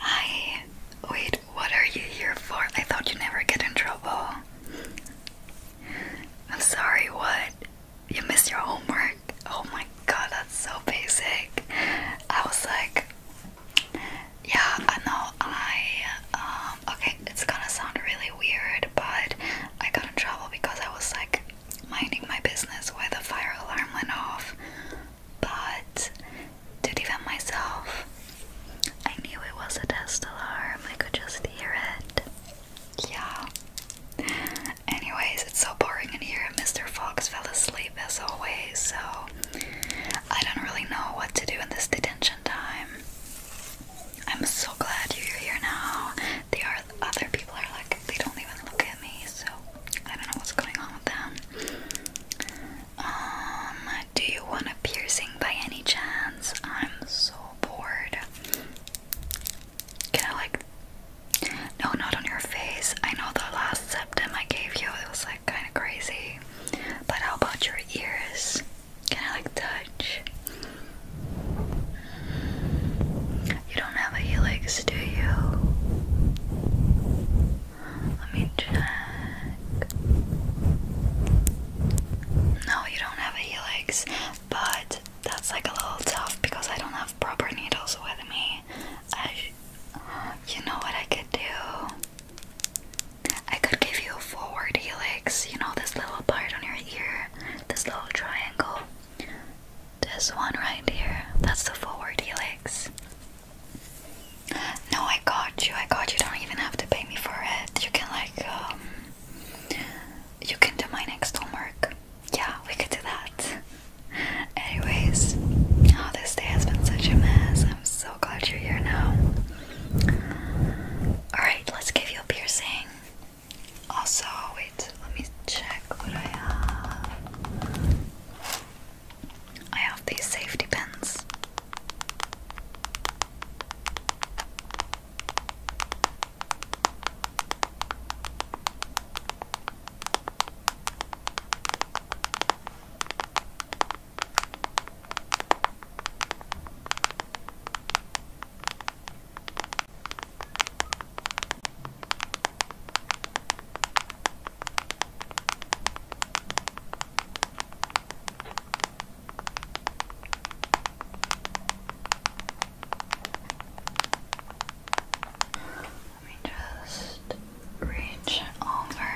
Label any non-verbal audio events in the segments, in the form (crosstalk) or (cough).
I wait, what are you here for? I thought you never get in trouble. I'm sorry, what? You missed your homework? Oh my god, that's so basic. I was like, yeah, I know I um okay, it's gonna sound really weird, but I got in trouble because I was like minding my business where the fire alarm went off. But to defend myself, I knew it was a test alarm. I could just hear it. Yeah. Anyways, it's so boring in here. Mr. Fox fell asleep as always, so I don't really know what to do in this detention time. I'm so glad you're here now. The other people are like, they don't even look at me, so I don't know what's going on with them. Um, do you want a piercing by any chance? I'm so bored. Can I like? No, not on your face. I know the last septum I gave you, it was like kind of crazy. But how about your ears? Can I like touch? You don't have a helix, do you? Let me check. No, you don't have a helix, but that's like a little tough because I don't have proper needles with me. I, you know what I could do? I could give you a forward helix, you know, this little part on your ear, this little triangle. This one right here, that's the forward helix. No, I got you, I got you. Don't even have to pay me for it. You can, like, um, you can do my next homework. Yeah, we could do that. Anyways, oh, this day has been such a mess so glad you're here now. Alright, let's give you a piercing. Also, wait, let me check what I have. I have these safety pins. Let me just reach over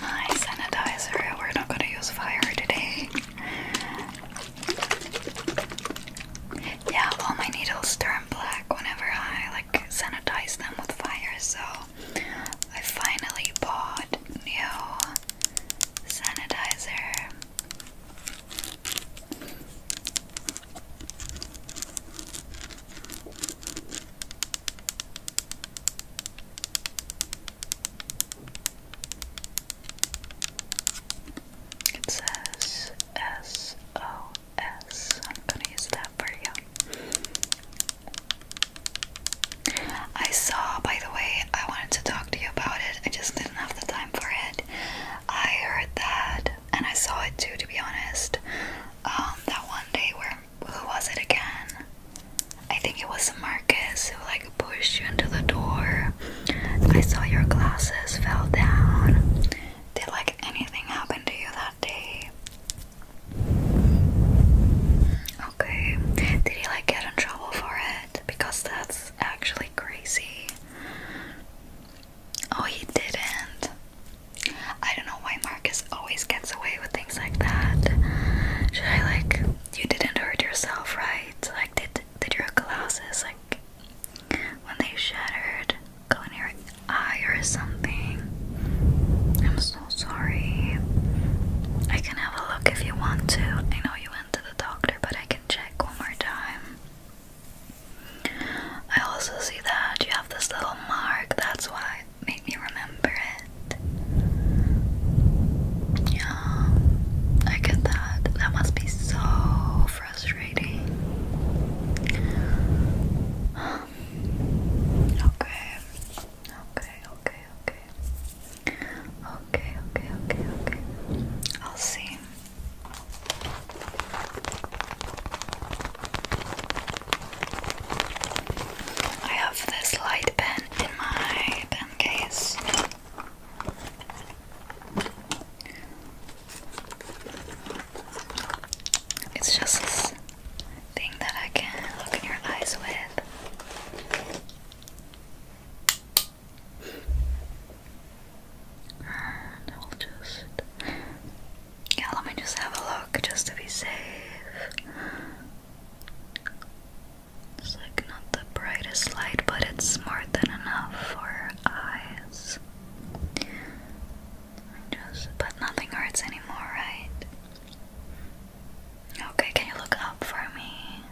my sanitizer. We're not gonna use fire today. Yeah, all my needles turn black whenever I like sanitize them with fire, so I finally bought new sanitizer. It says S O S. I'm gonna use that for you. I saw, by the way, I wanted to talk to you about it. I just didn't have the time for it. I heard that, and I saw it too, to be honest. Um, that one day where who was it again? I think it was Marcus who like pushed you into the door. I saw your glasses fell down. Did like anything happen to you that day? Okay. Did he like get in trouble for it? Because that's actually crazy. Oh, he didn't. I don't know why Marcus always gets away with things like that. Should I like you didn't hurt yourself, right? Like did did your glasses like when they shattered go in your eye or something? I'm so sorry. I can have a look if you want to. I know you went to the doctor, but I can check one more time. I also see that you have this little mark, that's why made me remember it. Yeah, I get that. That must be so frustrating. (sighs) Okay. Okay, okay, okay. Okay, okay, okay, okay. I'll see. I have this light pen in my pen case. It's just this thing that I can look in your eyes with. And just yeah, let me just have a look just to be safe. It's like not the brightest light, but it's more than enough for eyes. Just, but nothing hurts anymore, right? Okay, can you look up for me?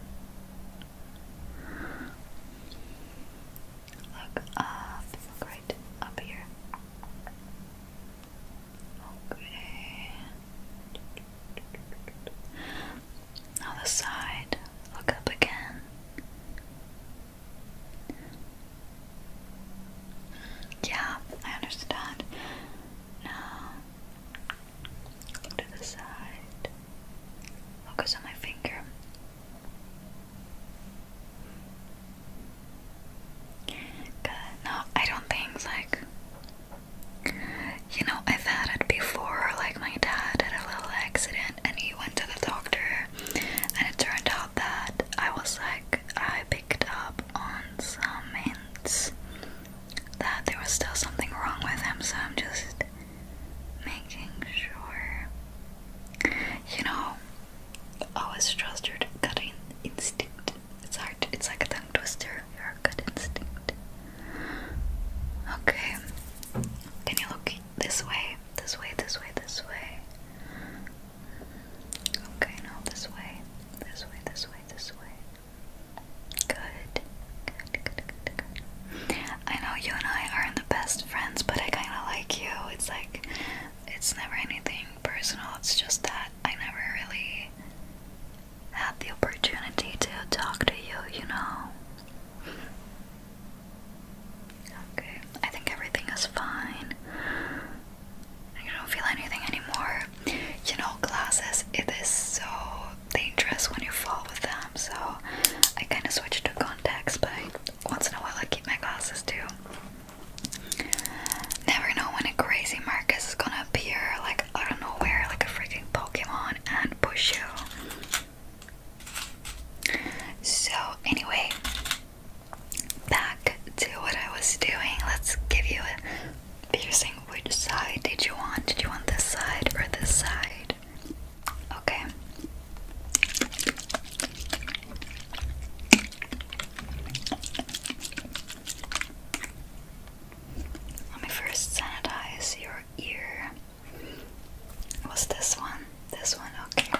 Look up, look right up here. Okay. Other side. Look up again. Yeah, I understand. Now, look to the side. Focus on my finger. No, I don't think like you know, I've had it before, like my dad had a little accident and he went to the doctor and it turned out that I was like I picked up on some hints that there was still something wrong with him, so I'm just making sure. You know, I was trust your gut instinct. It's hard. It's like a tongue twister. Your good instinct. Okay. Can you look this way? This way, this way, this way. Okay, now this way. This way, this way, this way. good. I know you and I aren't the best friends, but I kind of like you. It's like, it's never anything personal, it's just that I never really had the opportunity to talk to you, you know. Okay, I think everything is fine. I don't feel anything anymore. You know, glasses, it is so dangerous when you fall with them, so I kind of switched to contacts, but once in a while I keep my glasses too. Never know when a crazy Marcus is gonna appear like out of nowhere, like a freaking Pokemon, and push you. So, anyway, back to what I was doing. Let's give you a piercing. Which side did you want? Did you want this side or this side? Okay. Let me first sanitize your ear. Was this one? This one, okay.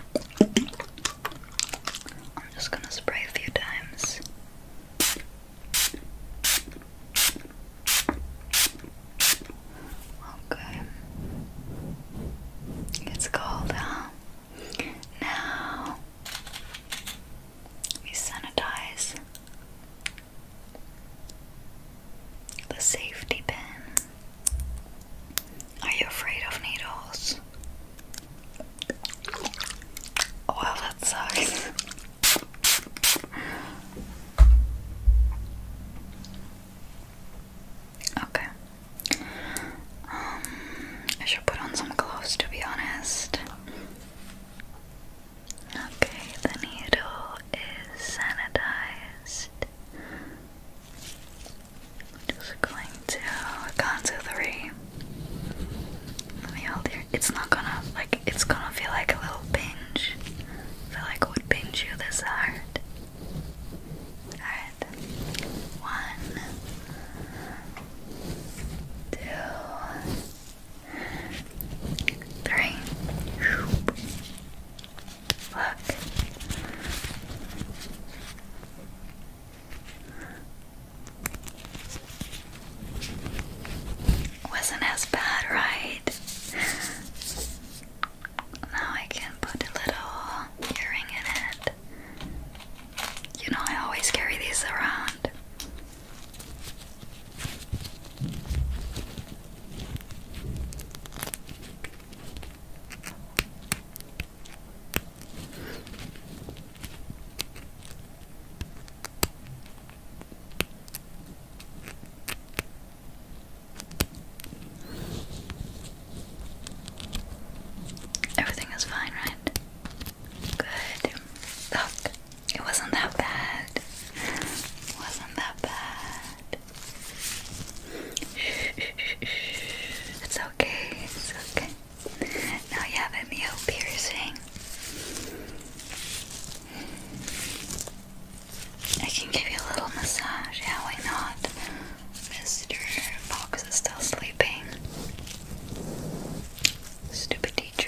I'm just gonna spray a few times. Okay. It's cold, Now we sanitize the safety pin. Are you afraid of needles? Oh, that sucks. Okay. Um, I should put on some gloves to be honest. Okay, the needle is sanitized. Just going to count to three. Let me hold your. It's not gonna like. It's gonna feel like a little pinch. feel like it would pinch you this hard. Alright. One, two, three. Wasn't as bad, right? Now I can put a little earring in it. You know, I always carry these around. Everything is fine, right? Good. Look, it wasn't that bad. It wasn't that bad. (laughs) It's okay. It's okay. Now you have a new piercing. I can give you a little massage. Yeah, why not? Mr. Fox is still sleeping. Stupid teacher.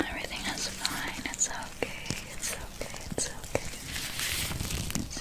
Everything is fine. It's okay. It's okay. It's okay.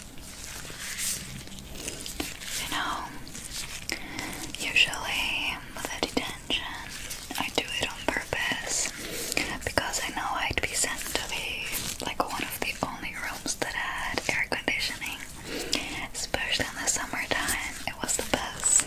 You know, usually with a detention, I do it on purpose because I know I'd be sent to be like one of the only rooms that had air conditioning, especially in the summertime. It was the best.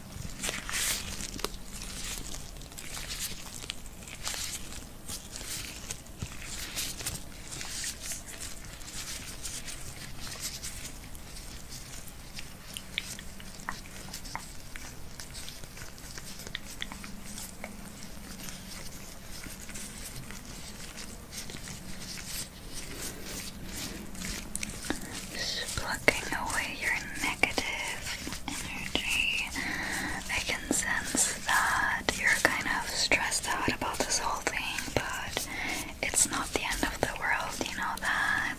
Just plucking away your negative energy. I can sense that you're kind of stressed out about this whole thing, but it's not the end of the world, you know that.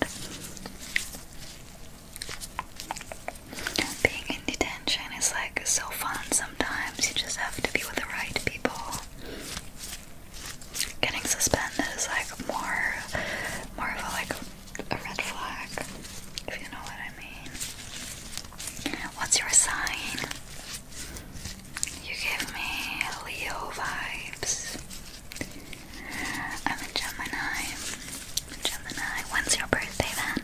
Being in detention is like so fun sometimes, you just have to be with the right people. Getting suspended is like more more of a like a red flag, if you know what I mean. What's your sign? You give me Leo vibes. I'm a Gemini. Gemini. When's your birthday then?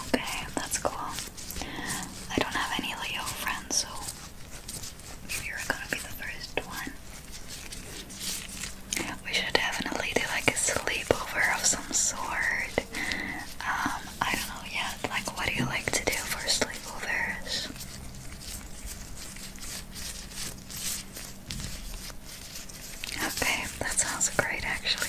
Okay, that's cool. I don't have any Leo friends, so you're gonna be the first one. We should definitely do like a sleepover of some sort. Um, I don't know yet. Like, what do you like to do for sleepovers? Okay, that sounds great actually.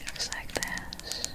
Looks like this. Okay.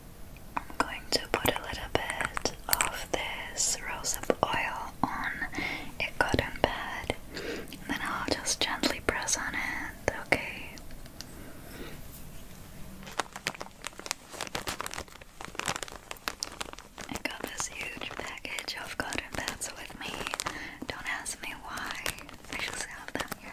I'm going to put a little bit of this rosehip oil on a cotton pad, and then I'll just gently press on it, okay? I got this huge package of cotton pads with me. Don't ask me why. I just have them here.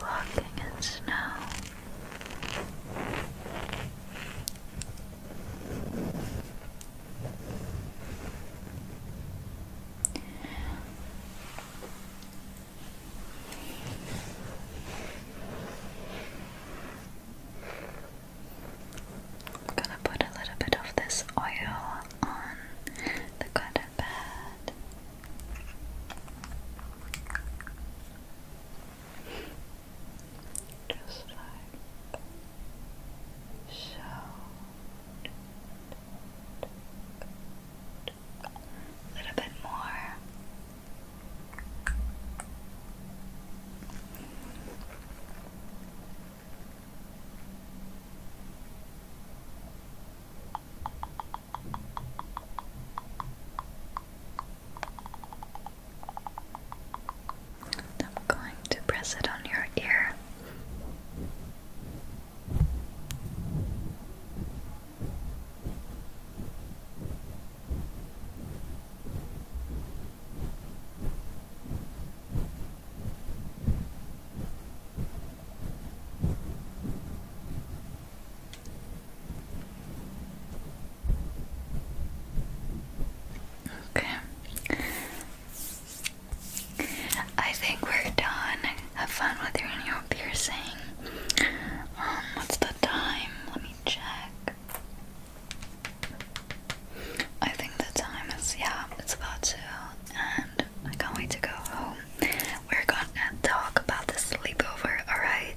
Walking in snow. I'm gonna put a little bit of this oil on the cotton just like so. A little bit more. I'm going to press it on your ear. Okay. I think we're done. Have fun with your new piercing. Um, what's the time? Let me check. I think the time is yeah, it's about two, and I can't wait to go home. We're gonna talk about the sleepover, alright?